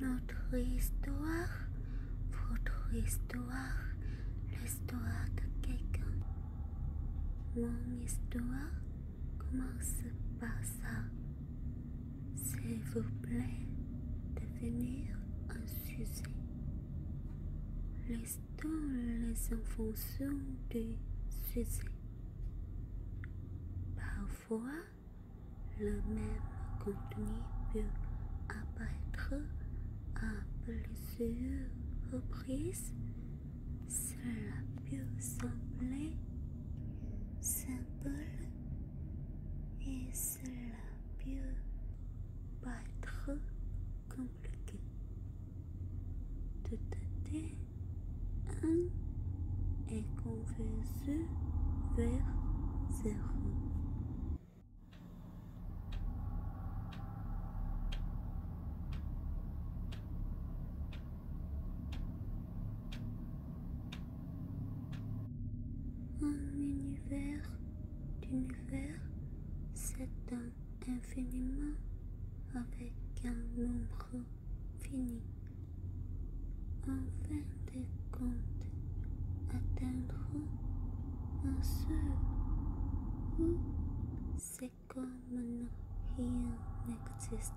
Notre histoire, votre histoire, l'histoire de quelqu'un. Mon histoire commence par ça. S'il vous plaît, devenir un sujet. laisse les en fonction du sujet. Parfois, fois, le même contenu peut apparaître à plusieurs reprises. Cela peut sembler simple et cela peut paraître compliqué. Tout à fait. 1 est convexe vers 0. Un univers d'univers s'étend infiniment avec un nombre en fin de compte, atteindrons un seul Ou c'est comme rien n'existe.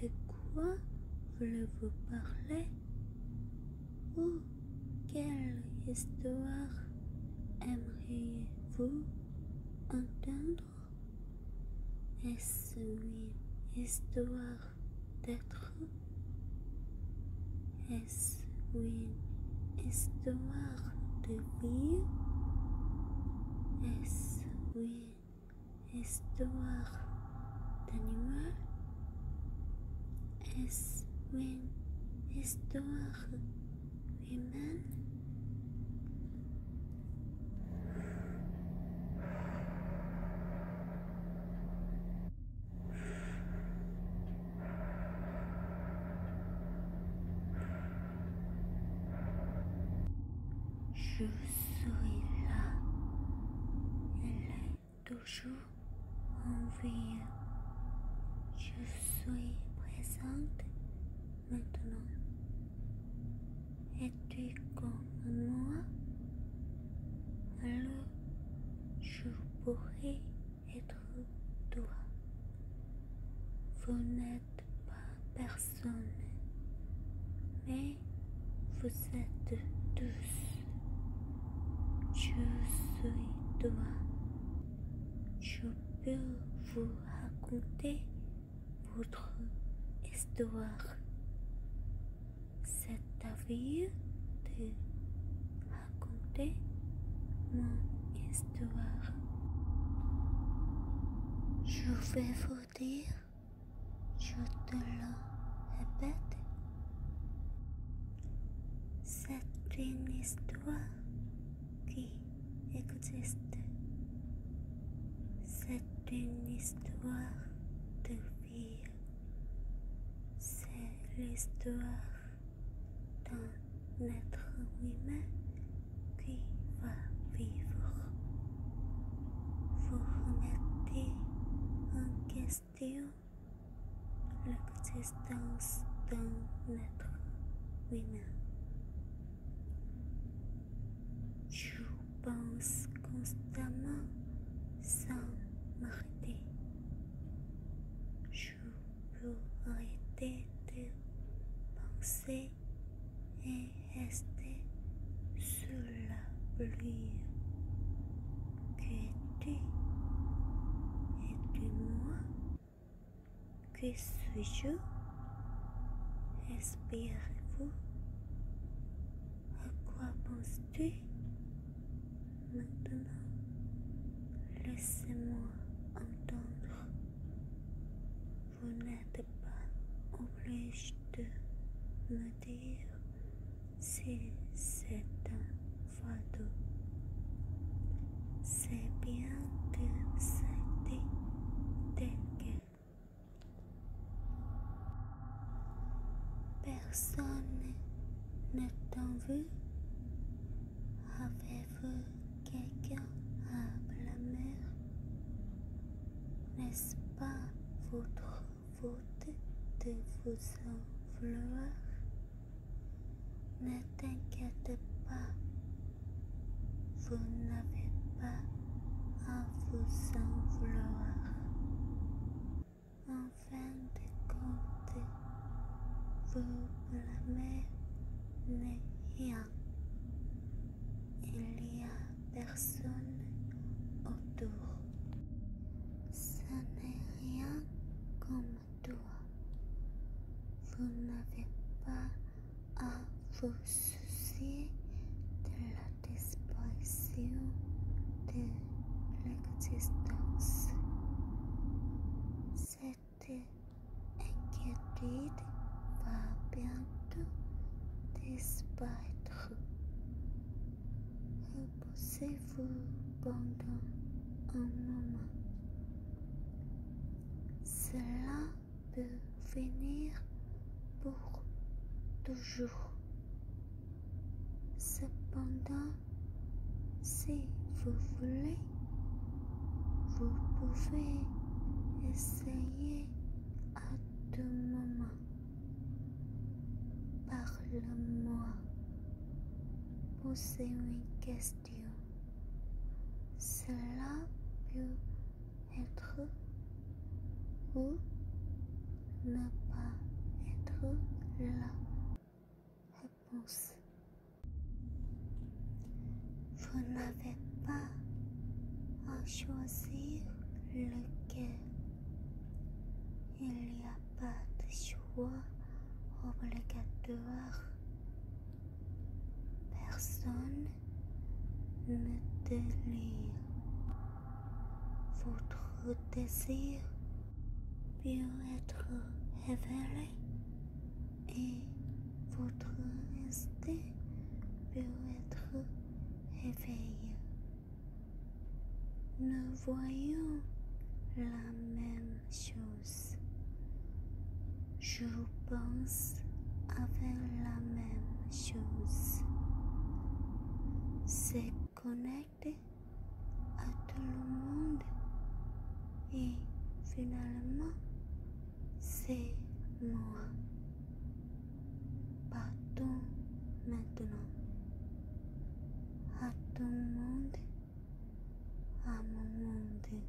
De quoi voulez-vous parler Ou quelle histoire aimeriez-vous entendre est-ce une histoire d'être Est-ce une histoire de vie Est-ce une histoire d'animal Est-ce une histoire humaine je suis là. Elle est toujours en vie. Je suis présente maintenant. Es-tu comme moi Alors, je pourrais être toi. Vous n'êtes pas personne, mais vous êtes tous. Je suis toi. Je peux vous raconter votre histoire. C'est à vie de raconter mon histoire. Je vais vous dire, je te le répète, c'est une histoire qui existe. C'est une histoire de vie. C'est l'histoire d'un être humain qui va vivre. Vous remettez en question l'existence d'un être humain. Je pense constamment sans m'arrêter. Je peux arrêter de penser et rester sous la pluie. Que tu et tu moi Que suis-je Respirez-vous À quoi penses-tu Maintenant, laissez-moi entendre. Vous n'êtes pas obligé de me dire si c'est un fardeau. C'est bien de c'était tel Personne ne t'en veut. Avez-vous quelqu'un à blâmer N'est-ce pas votre faute de vous en Ne t'inquiète pas. Vous n'avez pas à vous en vouloir. En fin de compte, vous n'est rien. Il n'y a personne autour. Ça n'est rien comme toi. Vous n'avez pas você della disparição de l'existence. Cette inquiétude va bientôt disparaître. Reposez-vous pendant un moment. Cela de venir pour toujours. Cependant, si vous voulez, vous pouvez essayer à tout moment. Parle-moi. Posez une question. Cela peut être ou ne pas être là Réponse. Vous n'avez pas à choisir lequel. Il n'y a pas de choix obligatoire. Personne votre désir peut être révélé et votre instinct peut être réveillé. Nous voyons la même chose pense faire la même chose. C'est connecter à tout le monde et finalement, c'est moi. Partout maintenant à tout le monde, à mon monde.